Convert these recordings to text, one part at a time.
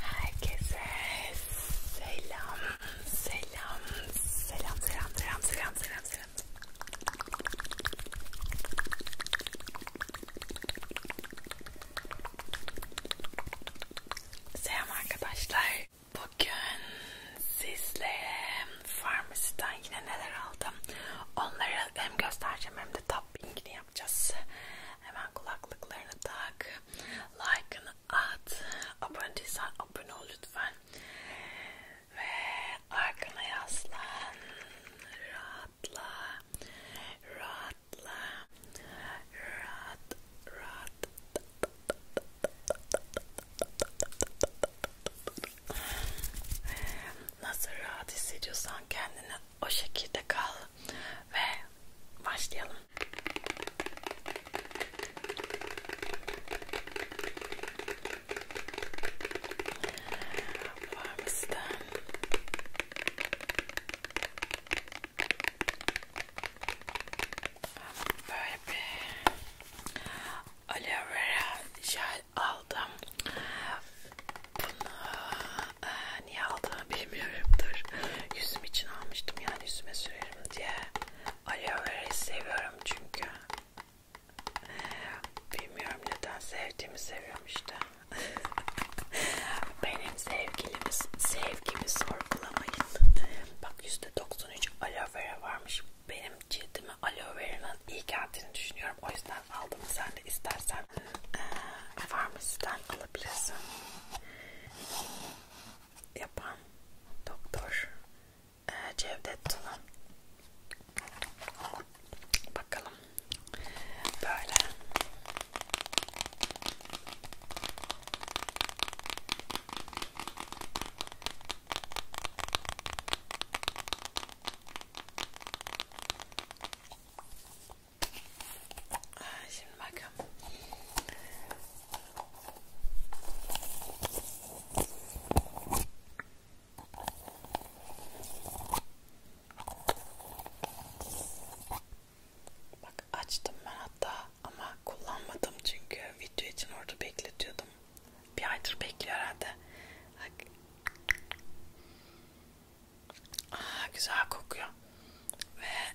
Herkese selam, selam, selam, selam, selam, selam, selam, selam. Selam arkadaşlar. Bugün sizlere Farmasy'den yine neler aldım onları hem göstereceğim hem de tappingini yapacağız. Hemen kulaklıklarını tak, like'ını at, abone değilsen abone ol lütfen. Ve arkana yaslan, rahatla, rahatla, rahat, rahat, rahat, rahat, Nasıl rahat hissediyorsan kendini o şekilde kal ve başlayalım. Farmisten böyle bir aloe vera jel aldım. Bunu e, niye aldığımı bilmiyorum. Dur. Yüzüm için almıştım yani yüzüme sürerim diye. Aloe vera'yı seviyorum çünkü. Bilmiyorum neden sevdiğimi seviyorum işte. Benim sevgilimiz sevgimi sorgulamayın. Bak %93 aloe vera varmış. Benim cildim cildime aloe vera'nın iyi geldiğini düşünüyorum. O yüzden aldım. Sen de istersen e, farmasiden alabilirsin. Yapan doktor e, Cevdet Tuna. Bakalım. Böyle. Ah, şimdi bakın. Bak açtım ben hatta ama kullanmadım çünkü video için orada bekletiyordum. Bir aydır bekliyor herhalde. Aa, ah, güzel kokuyor. Ve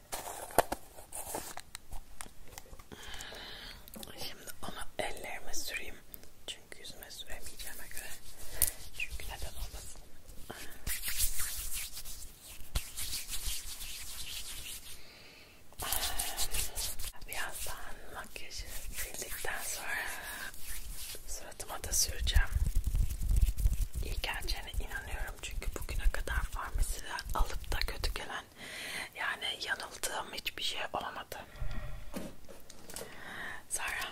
Şimdi onu ellerime süreyim. Çünkü yüzüme süremeyeceğime göre. Çünkü neden olmasın. Ah, birazdan makyajı sildikten sonra suratıma da süreceğim. İyi geleceğine inanıyorum bilmiyorum çünkü bugüne kadar farmasiden alıp da kötü gelen yani yanıldığım hiçbir şey olmadı. Zara.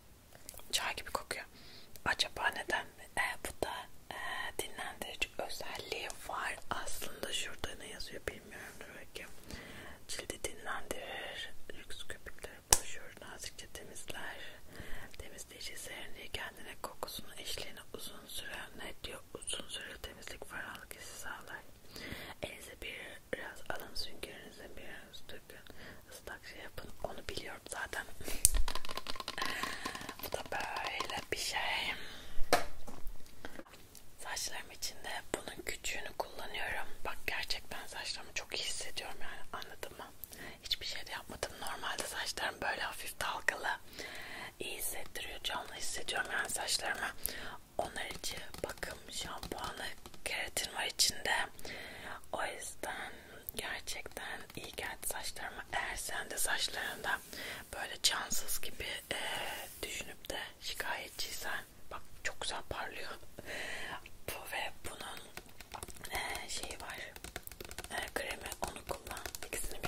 Çay gibi kokuyor. Acaba neden? E, bu da e, dinlendirici özelliği var. Aslında şurada ne yazıyor bilmiyorum. Belki cildi dinlendirir. Lüks köpükleri boşuyor. Nazikçe temizler. Temizleyici serinliği kendine kokusunu eşliğine uzun süre ne diyor? Uzun süre temizlik ferahlık hissi sağlar. Elinize biraz alın süngerinizin bir biraz dökün ıslak şey yapın onu biliyorum zaten bu da böyle bir şey saçlarım içinde bunun küçüğünü kullanıyorum bak gerçekten saçlarımı çok iyi hissediyorum yani anladın mı hiçbir şey de yapmadım normalde saçlarım böyle hafif dalgalı iyi hissettiriyor canlı hissediyorum yani saçlarımı onlar için bakım şampuanı keratin var içinde. O yüzden gerçekten iyi geldi saçlarıma. Eğer sen de saçlarında böyle cansız gibi e, düşünüp de şikayetçiysen bak çok güzel parlıyor. Bu ve bunun e, şeyi var. E, kremi onu kullan. İkisini bir.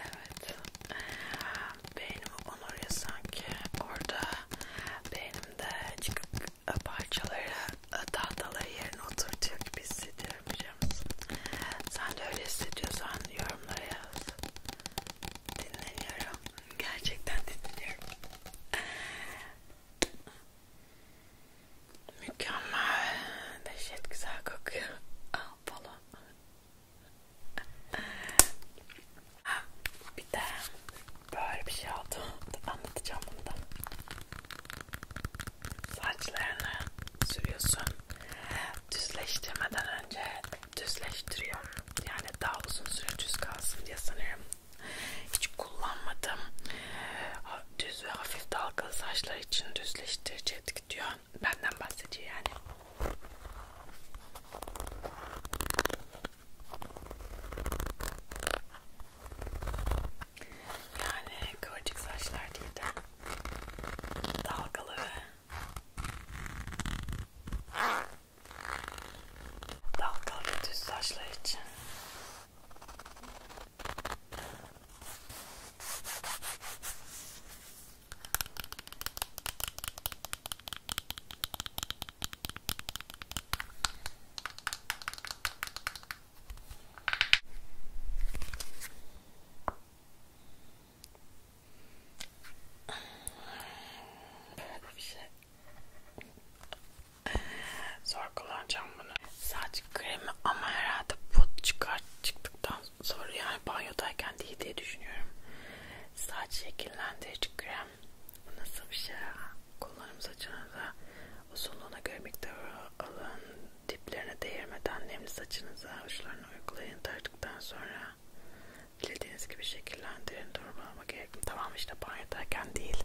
Evet. Ee, Beynimi onuruyor sanki. Orada beynimde çıkıp e, parçaları e, tahtaları yerine oturtuyor gibi hissediyorum biliyor musun? Sen de öyle hissediyorsan yorumlara yaz. Dinleniyorum. Gerçekten dinleniyorum. Mükemmel. Dehşet güzel kokuyor. Al falan. Bir de böyle bir şey oldu. Anlatacağım bunu da. Saçlarını sürüyorsun. Düzleştirmeden önce düzleştiriyorum. Yani daha uzun süre düz kalsın diye sanırım. Hiç kullanmadım. Düz ve hafif dalgalı saçlar için düzleştirecektik diyor. benden bahsediyor yani. Yani kıvırcık saçlar değil de dalgalı dalgalı düz saçlar için Böyle bir şey. Zor kullanacağım bunu. Sadece kremi ama herhalde pot çıkar çıktıktan sonra yani banyodayken değil diye düşünüyorum. Saç şekillendirici krem nasıl bir şey? Kollarım saçınıza uzunluğuna göre miktarı alın. Diplerine değirmeden nemli saçınıza uçlarına uygulayın. Tarttıktan sonra dilediğiniz gibi şekillendirin. Durmalama gerek yok. Tamam işte banyodayken değil.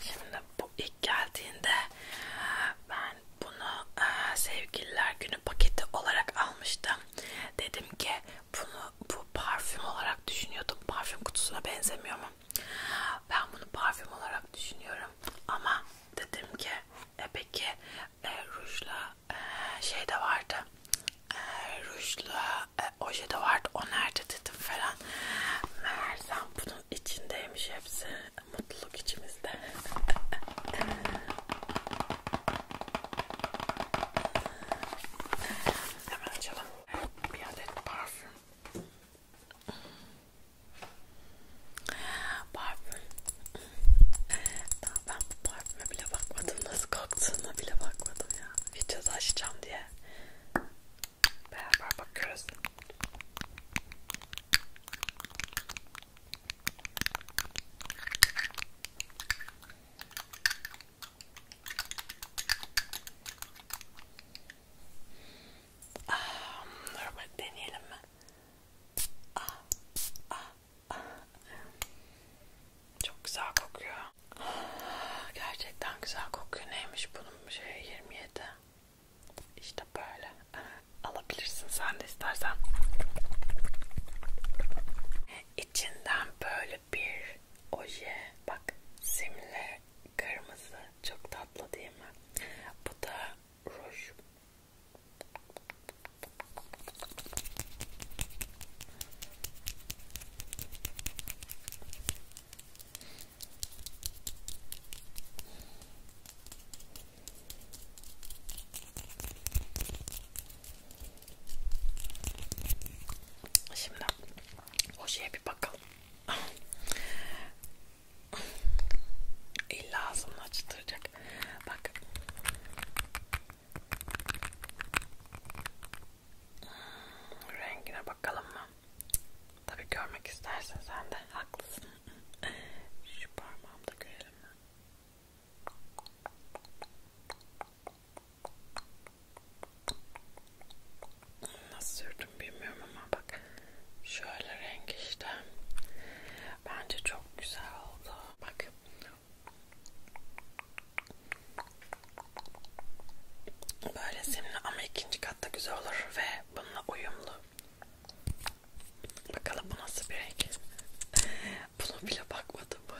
Şimdi bu ilk geldiğinde ben bunu e, sevgililer günü paketi olarak almıştım. Dedim ki bunu bu parfüm olarak düşünüyordum. Parfüm kutusuna benzemiyor mu? Ben bunu parfüm olarak düşünüyorum. Ama dedim ki e, peki e, rujla e, şey de vardı. E, rujla e, oje de vardı o nerede dedim falan meğersem bunun içindeymiş hepsi mutluluk içimizde hemen açalım bir adet parfüm parfüm ben bu parfüme bile bakmadım nasıl koktuğuna bile bakmadım ya videoda açacağım diye beraber bakıyoruz. Ah, normal deneyelim mi? Ah, ah, ah. Çok güzel kokuyor kokuyor. Gerçekten güzel kokuyor. Neymiş bunun şey 27. İşte böyle. Alabilirsin sen de istersen. İçinden böyle bir oje. Bak simli kırmızı. Çok tatlı değil mi? Bu da ruj. Şimdi ojeye bir bakalım. İlla ağzımı açtıracak. Bak. Hmm, rengine bakalım mı? Tabii görmek istersen sen de haklısın. Şu parmağımda görelim mi? Nasıl sürdüm bilmiyorum ama bak şöyle renk işte. Bence çok güzel oldu. Bak Böyle simli ama ikinci katta güzel olur ve bununla uyumlu. Bakalım bu nasıl bir renk. Bunu bile bakmadım bu.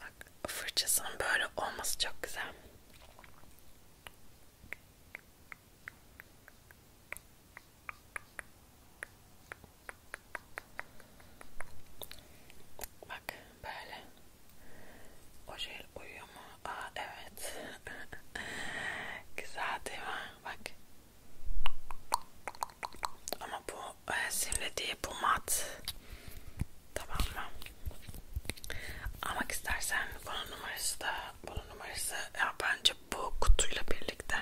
Bak fırçasının böyle olması çok güzel. Bak böyle. O jel şey uyuyor mu? Aa evet. Güzel değil mi? Bak. Ama bu e, simli değil, bu mat. Tamam mı? Almak istersen bunun numarası da, bunun numarası ya bence bu kutuyla birlikte.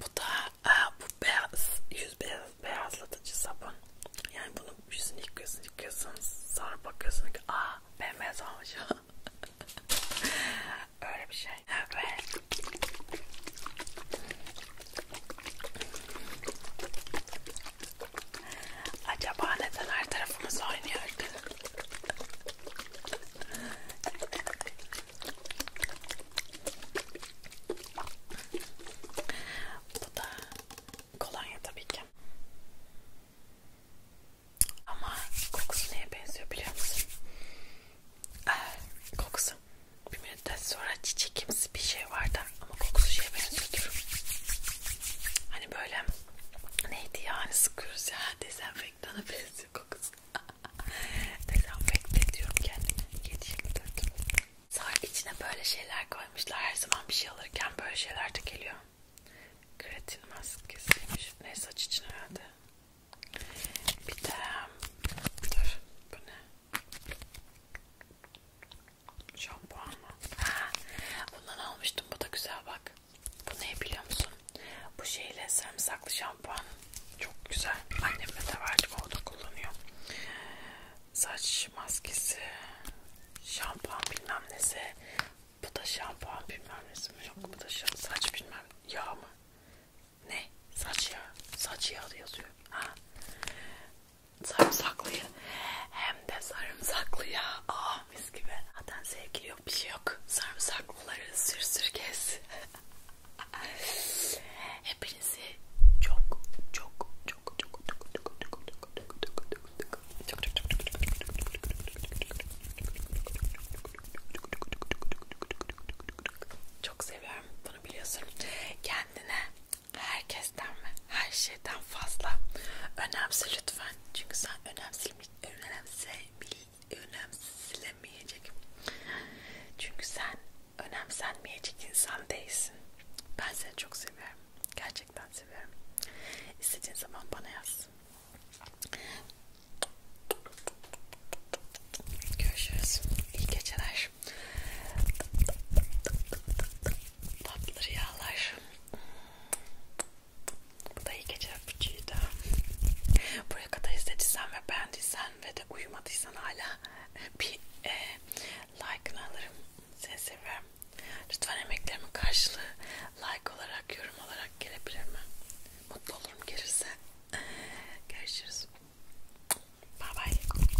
Bu da e, bu beyaz, yüz beyaz, beyazlatıcı sabun. Yani bunu yüzünü yıkıyorsun, yıkıyorsun, sonra bakıyorsun ki aa bembeyaz olmuş. Öyle bir şey. Evet. Acaba neden her tarafımız oynuyordu? Bu da kolonya tabii ki. Ama kokusu neye benziyor biliyor musun? Ee, kokusu bir müddet sonra çiçekimsi bir şey vardı ama kokusu şeye benziyordur. Hani böyle neydi ya hani sıkıyoruz ya dezenfektan Dana benziyor kokusu. Dezenfekte ediyorum kendimi. Yetiştirdim. Sonra içine böyle şeyler koymuşlar. Her zaman bir şey alırken böyle şeyler de geliyor. Kreatin maskesiymiş. Ne saç için herhalde. Bir de dur bu ne? Şampuan mı? Ha, bundan almıştım. Bu da güzel bak. Bu ne biliyor musun? Bu şeyle sarımsaklı şampuan. Çok güzel. Annemle de vardı. O da kullanıyor. Saç maskesi. Şampuan bilmem nesi. Bu da şampuan bilmem nesi mi? Yok bu da saç bilmem yağ mı? Ne? Saç yağı. Saç yağı yazıyor. Ha. Sarımsaklı hem de sarımsaklı ya. Aa, ah. Ah mis gibi. Zaten sevgili yok bir şey yok. Sarımsaklıları sür sür kes. Hepinizi çok çok çok çok çok çok çok çok çok çok çok çok çok çok çok seviyorum bunu biliyorsun. Kendine herkesten ve her şeyden fazla önemse lütfen. Çünkü sen önemsizlik önemsebil önemsilemeyecek. Çünkü sen önemsenmeyecek insan değilsin. Ben seni çok seviyorum. Gerçekten seviyorum. İstediğin zaman bana yaz. Görüşürüz. İyi geceler. Tatlı rüyalar. Bu da iyi gece öpücüydü. Buraya kadar izlediysen ve beğendiysen ve de uyumadıysan hala bir e, like'ını alırım. Seni seviyorum. Lütfen emeklerimin karşılığı like olarak, yorum olarak gelebilir mi? Mutlu olurum gelirse. Görüşürüz. Bye bye.